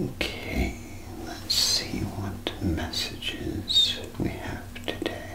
Okay, let's see what messages we have today.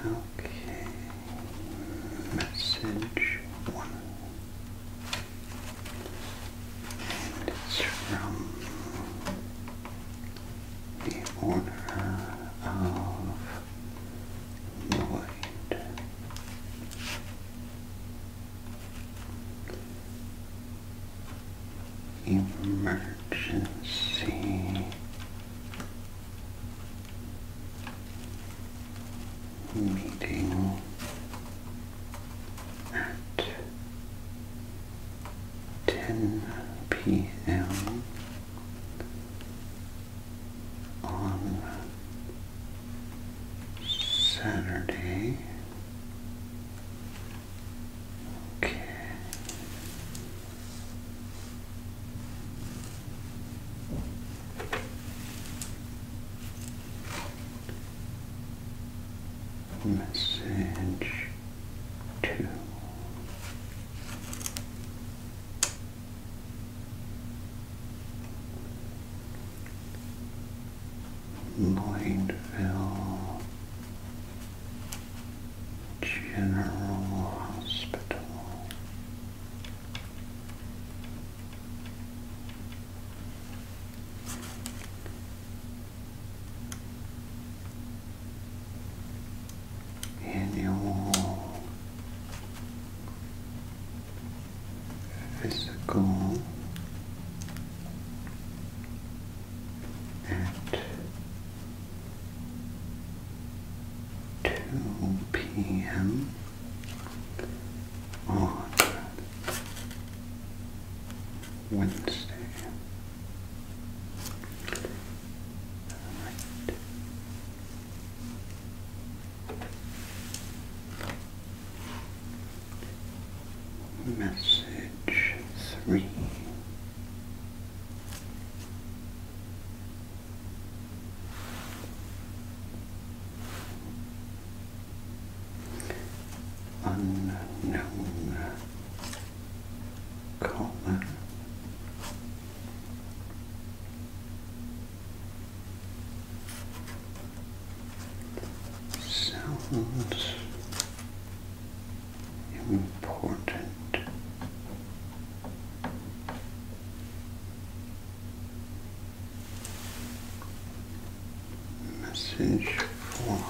Okay, message one it's from the Order of the Emergency meeting at 10 p.m. on Saturday. Okay message to Lloydville General Hospital in your physical at two p.m. on Wednesday. Message three unknown color. Sounds important message for points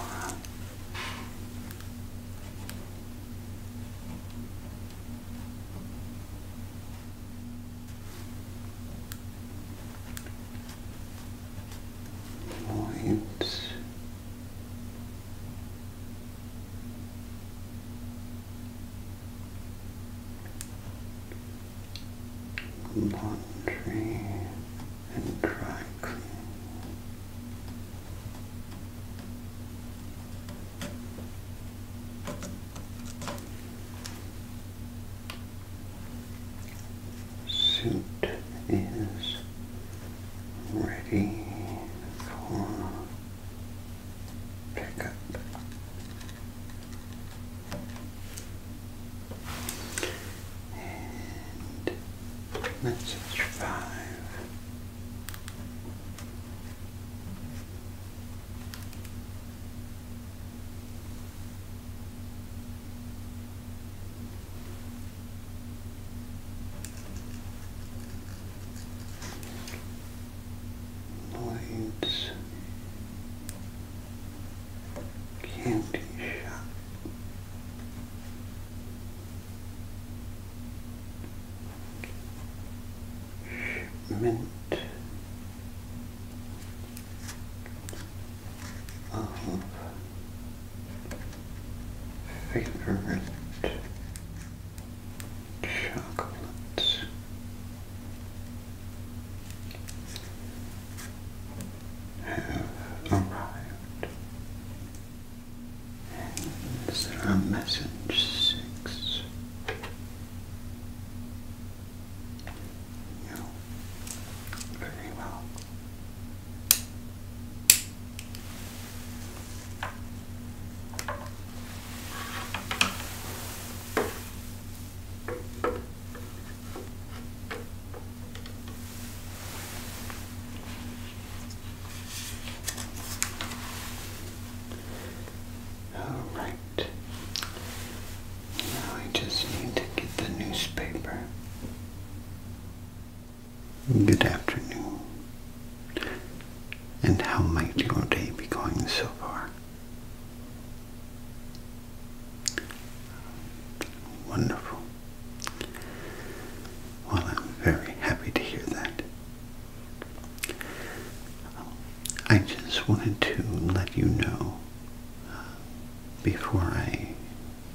laundry and dry Suit is ready for pickup. And message five candy shop. Shipment of um, favorite chocolates have arrived. And is there message six? No. Very well. All right. Now I just need to get the newspaper. Good afternoon. And how might your day be going so far? Wonderful. Well, I'm very happy to hear that. I just wanted to let you know uh, before I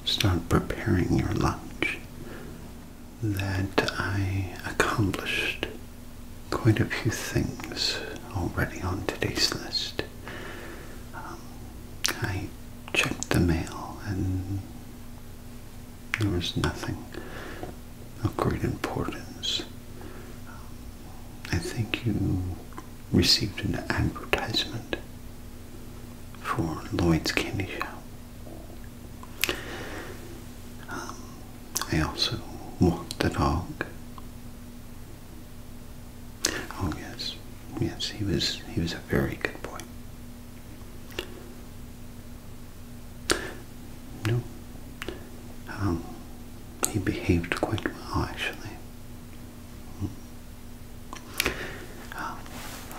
start preparing your lunch that I accomplished quite a few things already on today's list. Um, I checked the mail and there was nothing of great importance. I think you received an advertisement for Lloyd's Candy Shop. Um, I also walked the dog. Oh yes, yes, he was he was a very good boy. No, um, he behaved quite well actually. Um,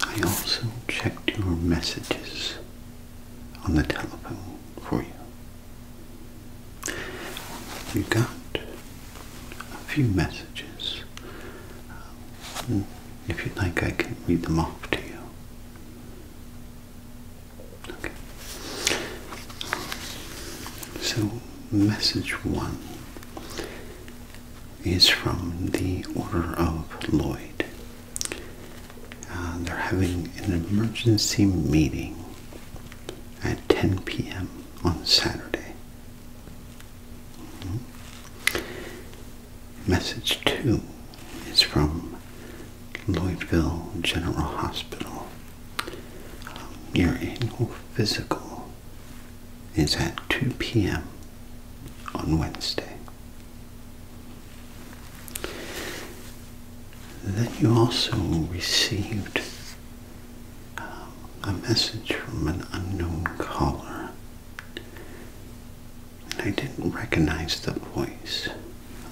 I also checked your messages on the telephone for you. You got a few messages. Um, if you would like, I can read them off to you. Okay. So, message one is from the Order of Lloyd. Uh, they're having an emergency meeting at 10 p.m. on Saturday. Hmm? Message two is from Lloydville General Hospital. Um, your annual physical is at 2 p.m. on Wednesday. Then you also received um, a message from an unknown caller. And I didn't recognize the voice,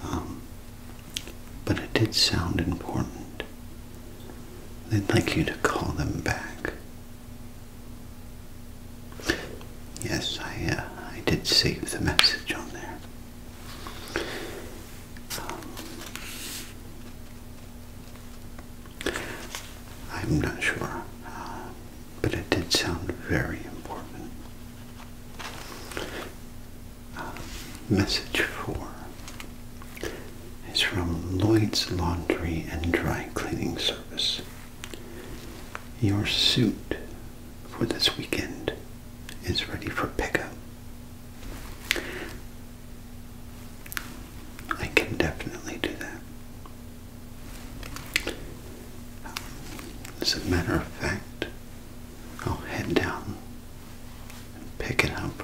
um, but it did sound important. They'd like you to call them back. Yes, I, uh, I did save the message on there. Um, I'm not sure, uh, but it did sound very important. Uh, message four is from Lloyd's Laundry and Dry Cleaning Service. Your suit for this weekend is ready for pickup. I can definitely do that. as a matter of fact, I'll head down and pick it up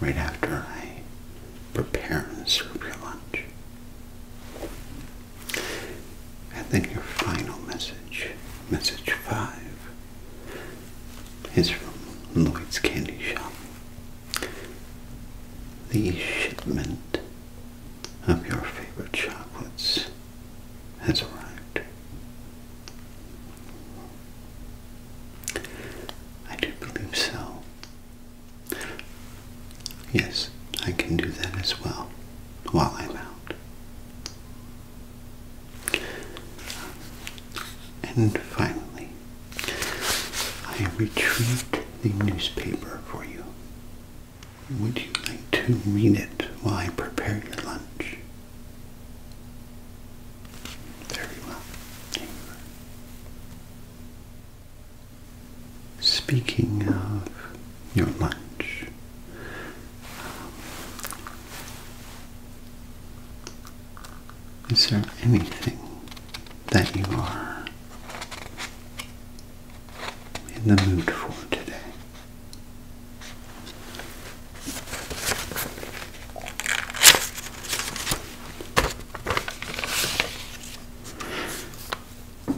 right after I prepare and serve your lunch. And then your final message, message five, is from Lloyd's Candy Shop. The shipment of your favorite chocolates has arrived. I do believe so. Yes, I can do that as well while I'm out. And finally, I retrieved the newspaper for you. Would you like to read it while I prepare your lunch? Very well. Speaking of your lunch, um, is there anything that you are in the mood for today?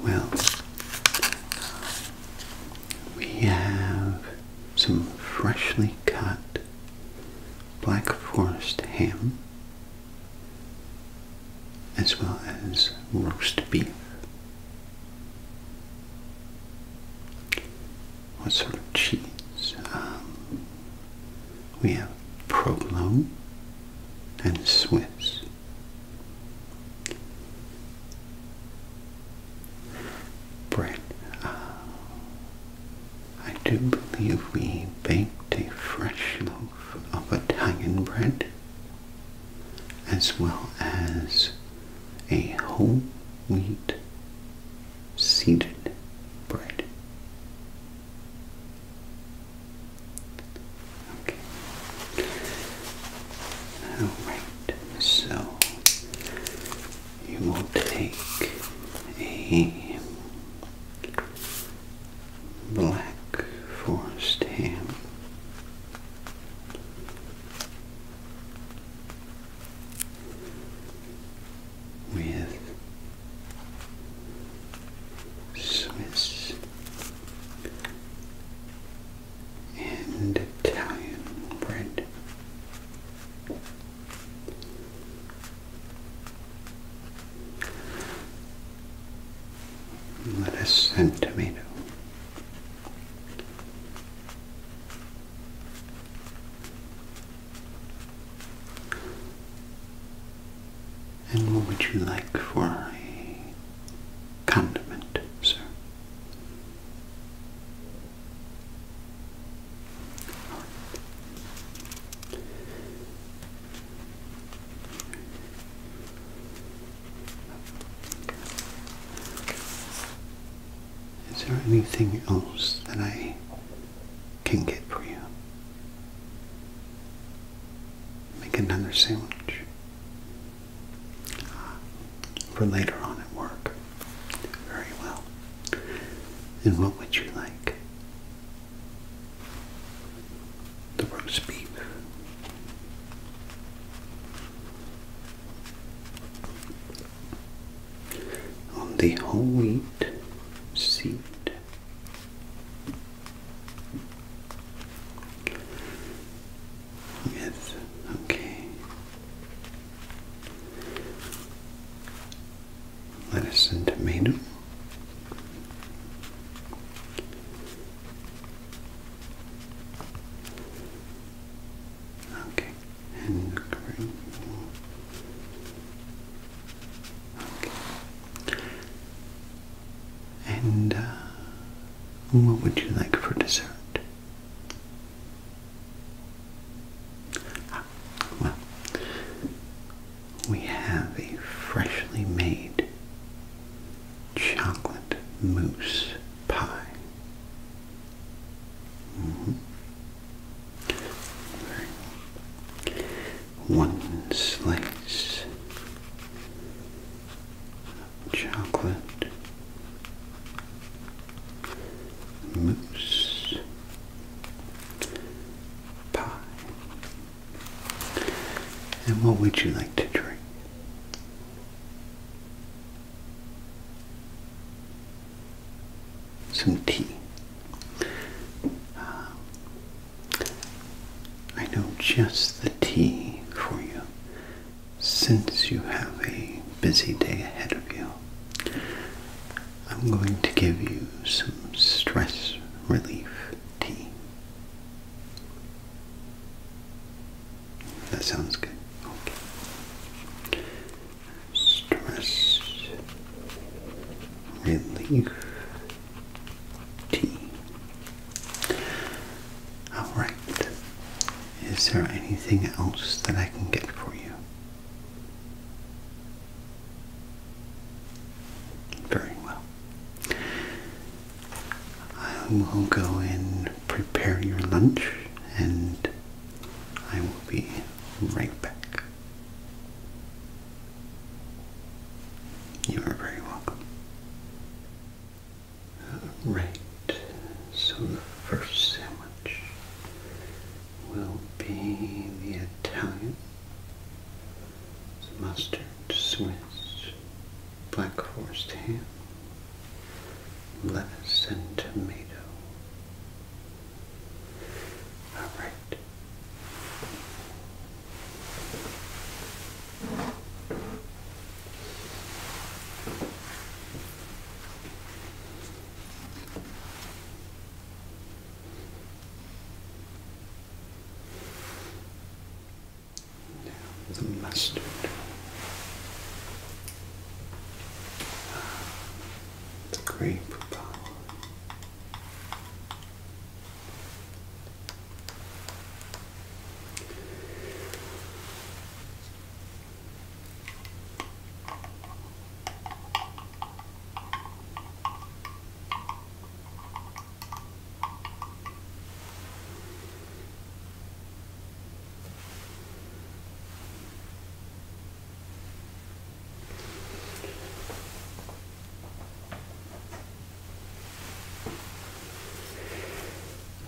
Well, we have some freshly cut black forest ham, as well as roast beef. What sort of cheese? Um, we have provolone and Swiss. Bread. Uh, I do believe we baked a fresh loaf of Italian bread as well as a whole wheat seeded bread. Okay. Alright, so you will take a black forest ham with Swiss and Italian bread. Let us send tomato. And what would you like for a condiment, sir? Is there anything else that I can get for you? Make another sandwich for later on at work. Very well. And what would you like? The rooms On the whole wheat seed. With, okay, lettuce and tomato. Okay, and green. Okay. And uh, what would you like for dessert? well, we have a freshly made chocolate mousse pie. Mm-hmm. One slice of chocolate mousse pie. And what would you like to drink? Some tea. Uh, I know just the tea for you since you have a busy day ahead of you. I'm going to give you some stress relief tea. That sounds good. Okay. Stress relief tea. All right. Is there anything else that I can get for you? Very well. I will go and prepare your lunch and I will be right back. You are very welcome. Right, so the first sandwich will be the Italian, mustard, Swiss, black forest ham, lettuce and tomato. All right the mustard. The grape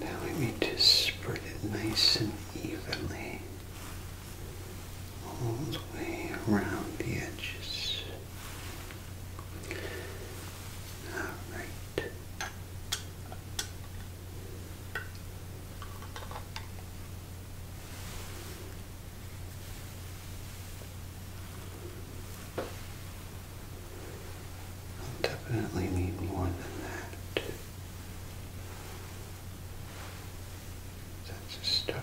now let me just spread it nice and evenly all the way around the edges. Alright. I'll definitely need more than that. That's a start.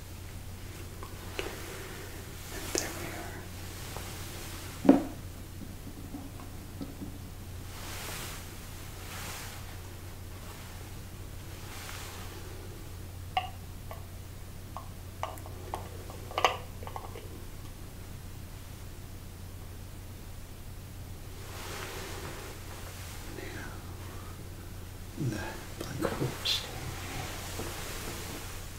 And there we are. Now, the black horse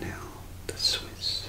Now the Swiss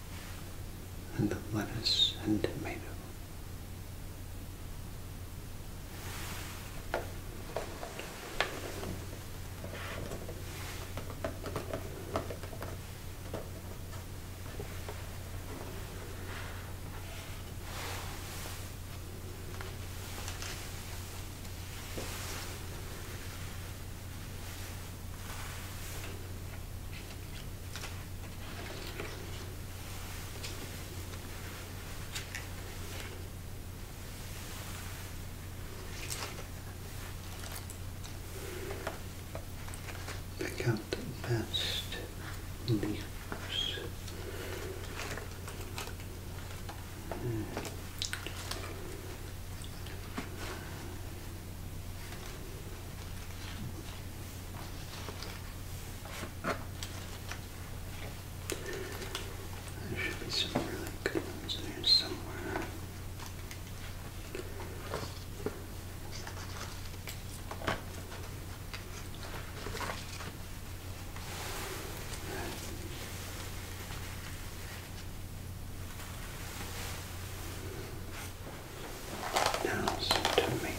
and the lettuce and tomato. Pick out the best leaves. Hmm. There should be some really good ones in somewhere. Now some tomatoes.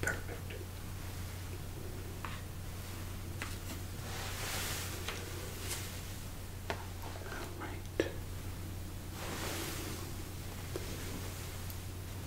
Perfect. All right.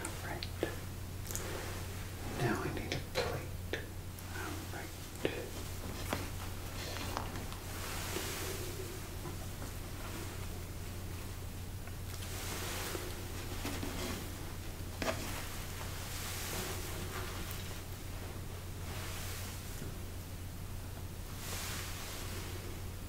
Alright. Now I need a plate. Alright.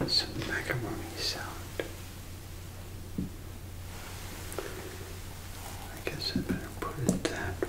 And some macaroni sound. I guess I better put it that way.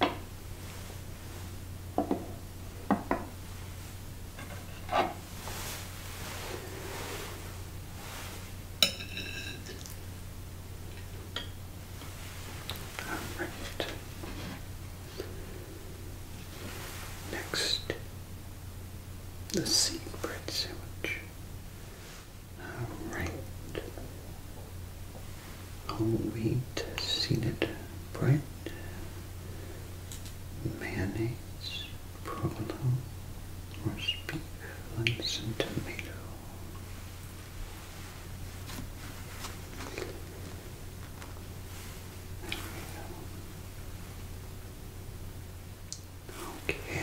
All right. Next, the seed bread sandwich. Alright. Whole wheat seeded bread, mayonnaise, provolone, roast beef, and tomato. Okay.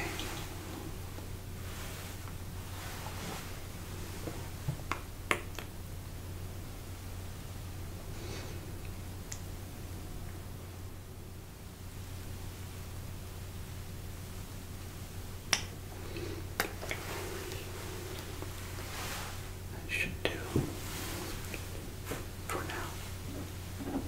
That should do for now.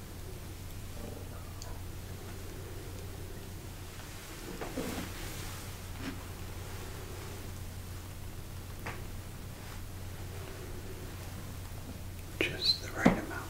Just the right amount.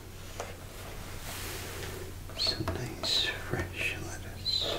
Some nice fresh lettuce.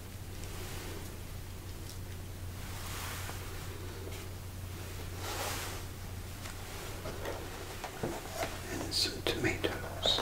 and some tomatoes.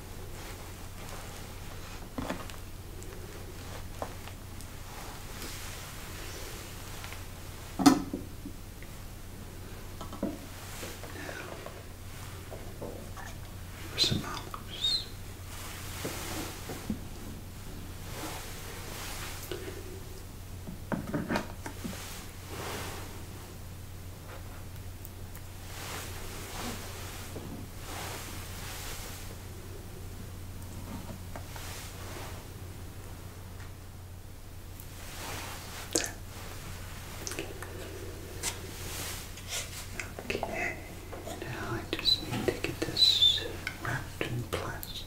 for some Okay, now I just need to get this wrapped in plastic.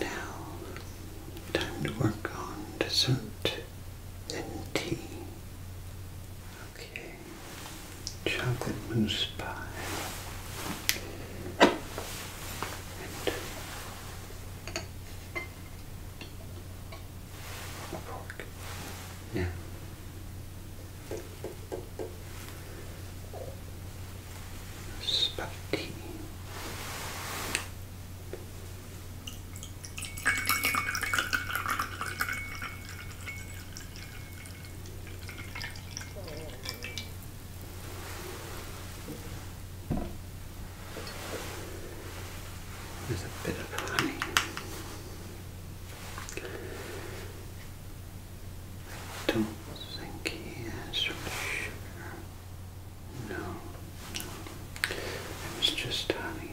now time to work on dessert and tea. Okay, chocolate mousse pie. And Pork. Yeah. Spaghetti. There's a bit of honey. I don't think he has sugar. No, no. It was just honey.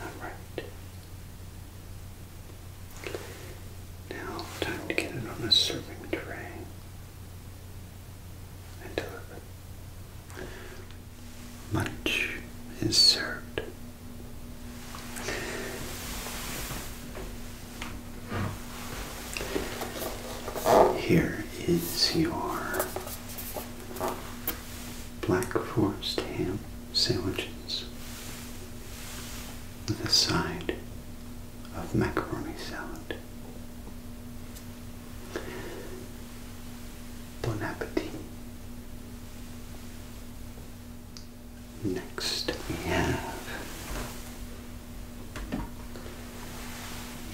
All right. Now, time to get it on a serving tray and deliver. Lunch is served here is your black forest ham sandwiches with a side of macaroni salad. Bon appetit. Next, we have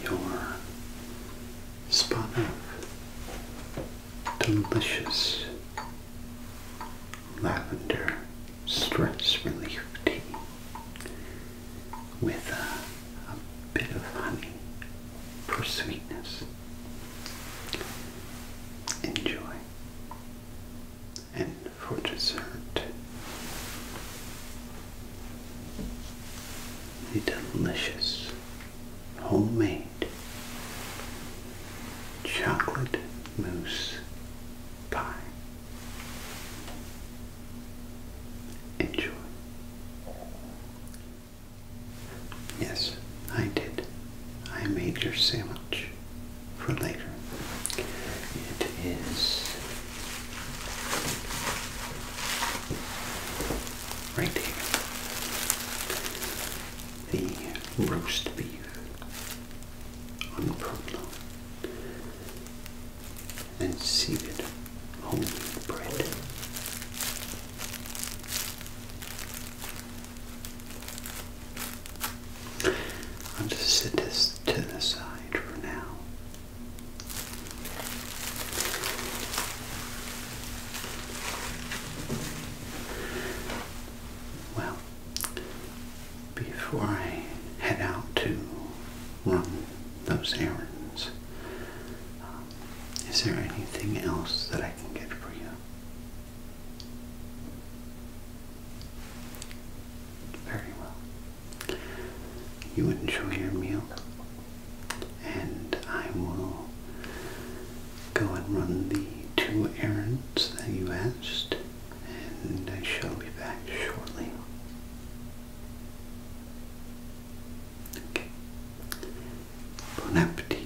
your spot of delicious lavender stress relief tea with a, bit of honey for sweetness. Enjoy. And for dessert. A delicious homemade chocolate mousse pie. Enjoy. Yes, I did. I made your sandwich for later. It is right here. The roast beef on Provolone and seeded homemade bread. I'll just set this to the side for now. Well, before I head out to run those errands, um, is there anything else that I can get for you? Very well. You enjoy your meal, and I will go and run the two errands that you asked, and I shall be back shortly. Okay. Bon appetit.